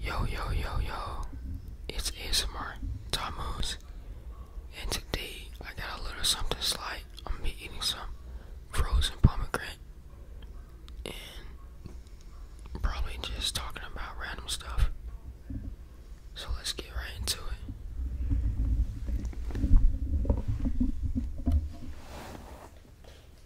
Yo yo yo yo, it's ASMR Tammuz, and today I got a little something slight. I'm gonna be eating some frozen pomegranate and probably just talking about random stuff. So let's get right into it.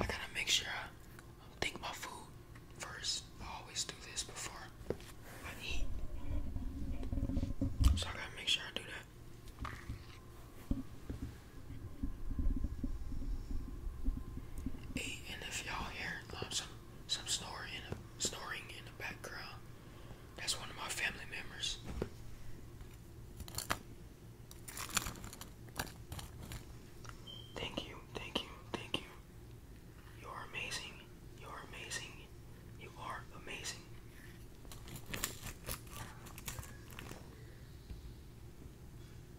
I gotta make sure I think my food first. I always do this before I eat. So I gotta make sure I do that. Hey, and if y'all here, some some snoring in snoring in the background. That's one of my family members. Thank you, thank you, thank you. You are amazing. You are amazing. You are amazing.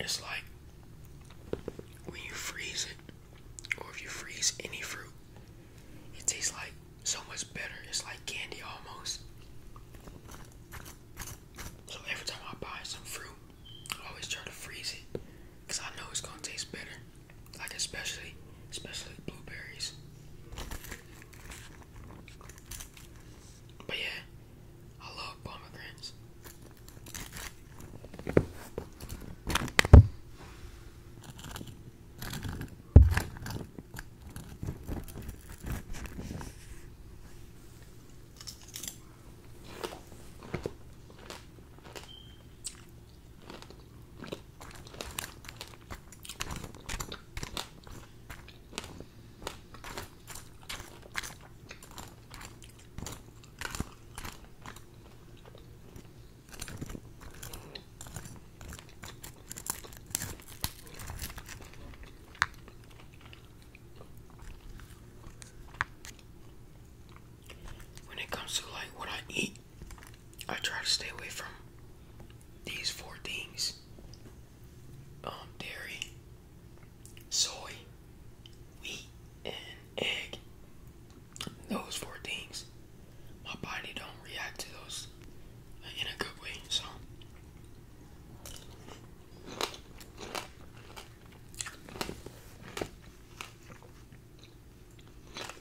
It's like when you freeze it, or if you freeze any fruit, it tastes like so much better. It's like candy almost. So every time I buy some fruit, I always try to freeze it because I know it's going to taste better. Like especially, especially blueberries. But yeah, I love pomegranates. When it comes to like what I eat, I try to stay away from these four things um, dairy, soy, wheat, and egg. Those four things. My body don't react to those in a good way, so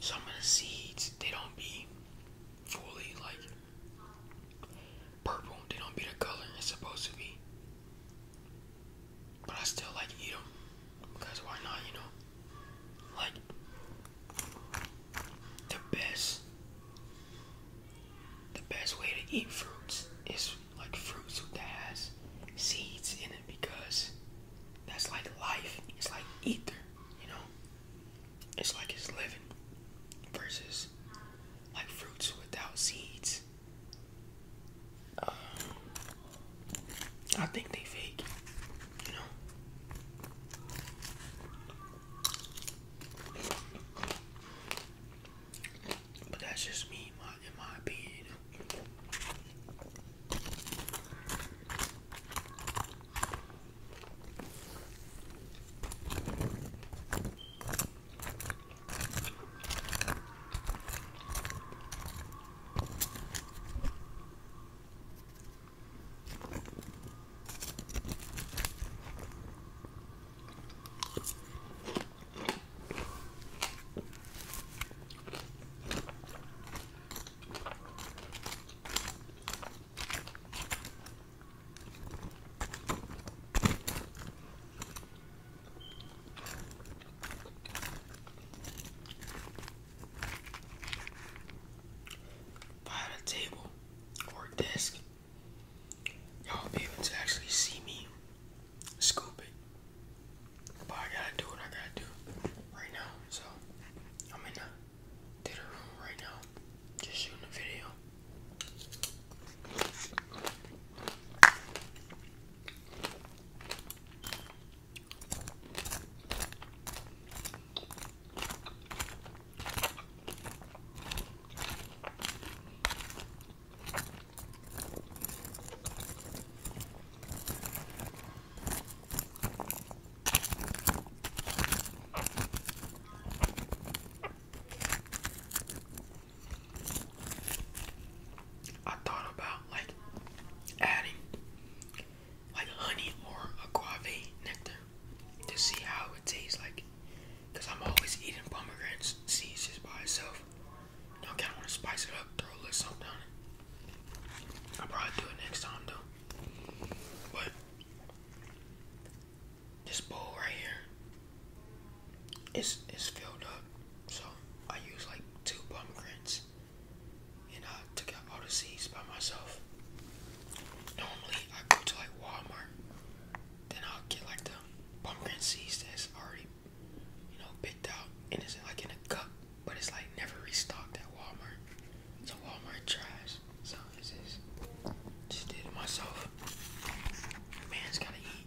Some of the seeds they don't be fully like purple, they don't be the color it's supposed to be. But I still like eat them because why not, you know? Like the best the best way to eat fruits is like fruits that has seeds in it because that's like life. It's like ether, you know? It's like it's living versus like fruits without seeds. Um, I think they fake, you know? But that's just me, in my opinion. By the table or desk y'all be able to actually see me scoop it. But I gotta do what I gotta do right now. So I'm in the theater room right now, just shooting a video. I thought about like adding like honey or agave nectar to see how it tastes like because I'm always eating pomegranates, seeds just by itself. You know, I kind of want to spice it up, throw a little something on it. I'll probably do it next time, though. But, this bowl right here is it's, filled up. So, I use like two pomegranates. And I took out all the seeds by myself. Normally, I go to like Walmart then I'll get like the pumpkin seeds that's already, you know, picked out and it's like in a cup, but it's like never restocked at Walmart. It's a Walmart trash. So this is just did it myself. Man's gotta eat.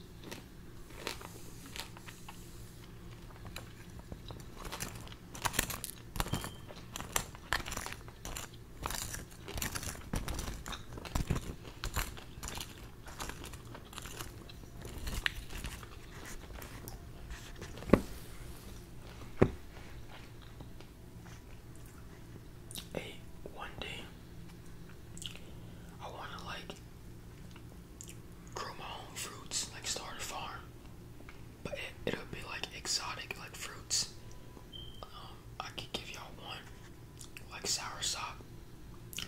Hey, one day I want to like grow my own fruits, like start a farm, but it, will be like exotic, like fruits. Um, I could give y'all one, like sour sop.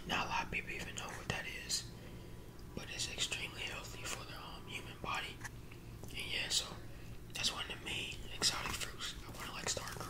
Not a lot of people even know what that is, but it's extremely healthy for the um, human body. And yeah, so that's one of the main exotic fruits I want to like start growing.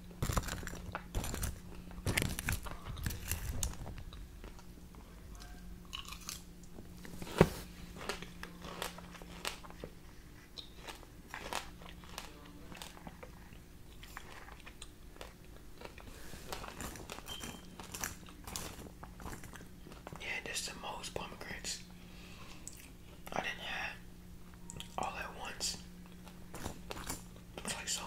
Yeah, that's the most pomegranates I didn't have all at once. Looks like so much.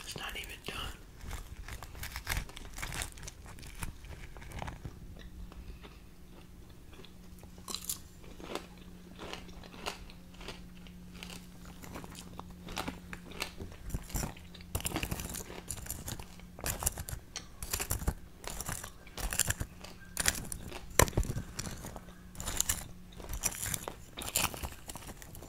It's not even done.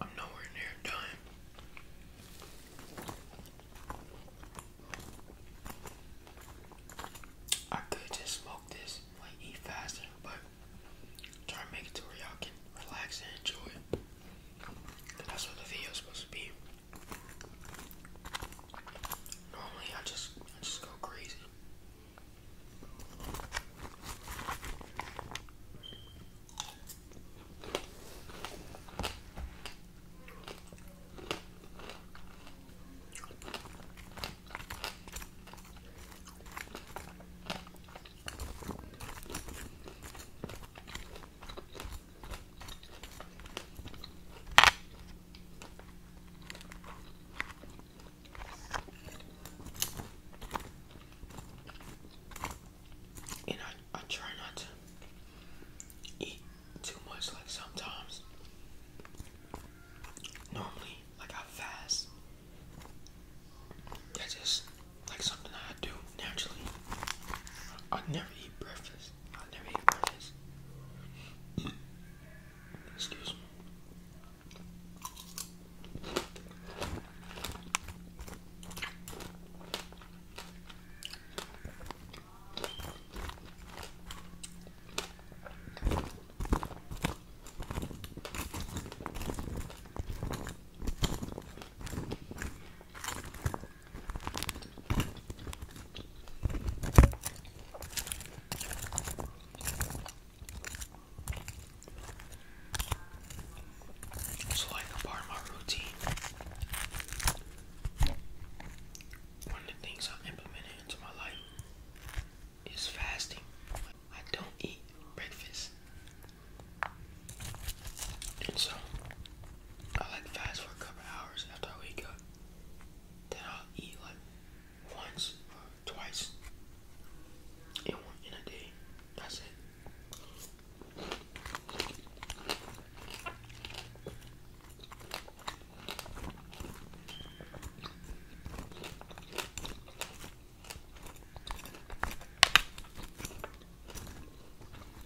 I'm nowhere near done. I could just smoke this, like eat faster, but try to make it to where y'all can relax and enjoy that's what the video is supposed to be. Normally, I just I just go crazy. And I, I try not to eat too much, like sometimes. Normally, like I fast. I just like something I do naturally. I never eat breakfast. I never eat breakfast. Excuse me. It's like a part of my routine. One of the things I implemented into my life is fasting. I don't eat breakfast so I like fast for a couple hours after I wake up. Then I'll eat like once or twice in one in a day. That's it.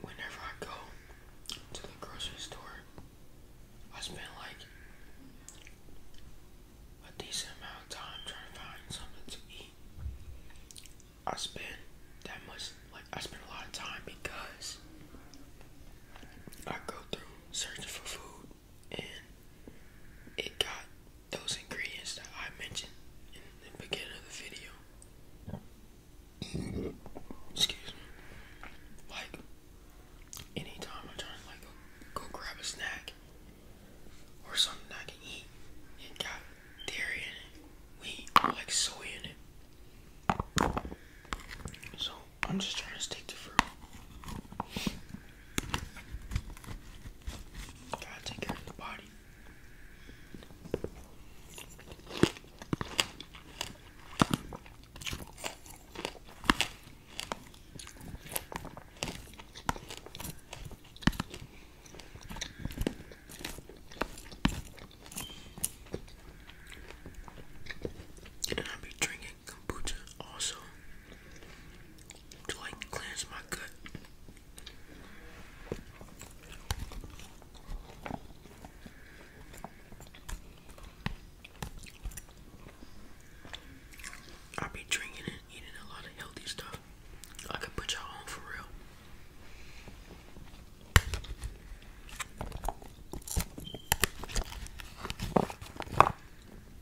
Whenever I go to the grocery store, I spend like a decent amount of time trying to find something to eat. I spend that much, like, I spend a lot of time because I go through searching for food and it got those ingredients that I mentioned in the beginning of the video. Excuse me. Like, anytime I'm to like go grab a snack or something I can eat, it got dairy in it, wheat, like soy in it. So I'm just trying to stick to fruit. Gotta take care of the body. And I'll be drinking kombucha also to like cleanse my gut. I'll be drinking and eating a lot of healthy stuff. I could put y'all on for real.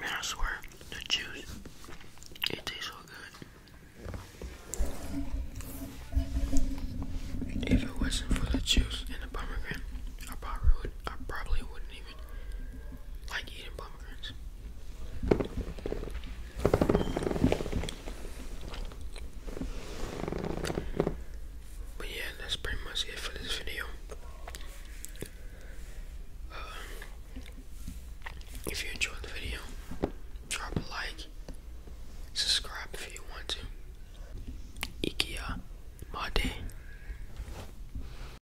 Man, I swear, the juice, it tastes so good. If it wasn't for the juice and the pomegranate, I probably would not even like eating pomegranates. But yeah, that's pretty much it for this video. Uh, if you enjoyed the video, drop a like, subscribe if you want to. Ikea Mate.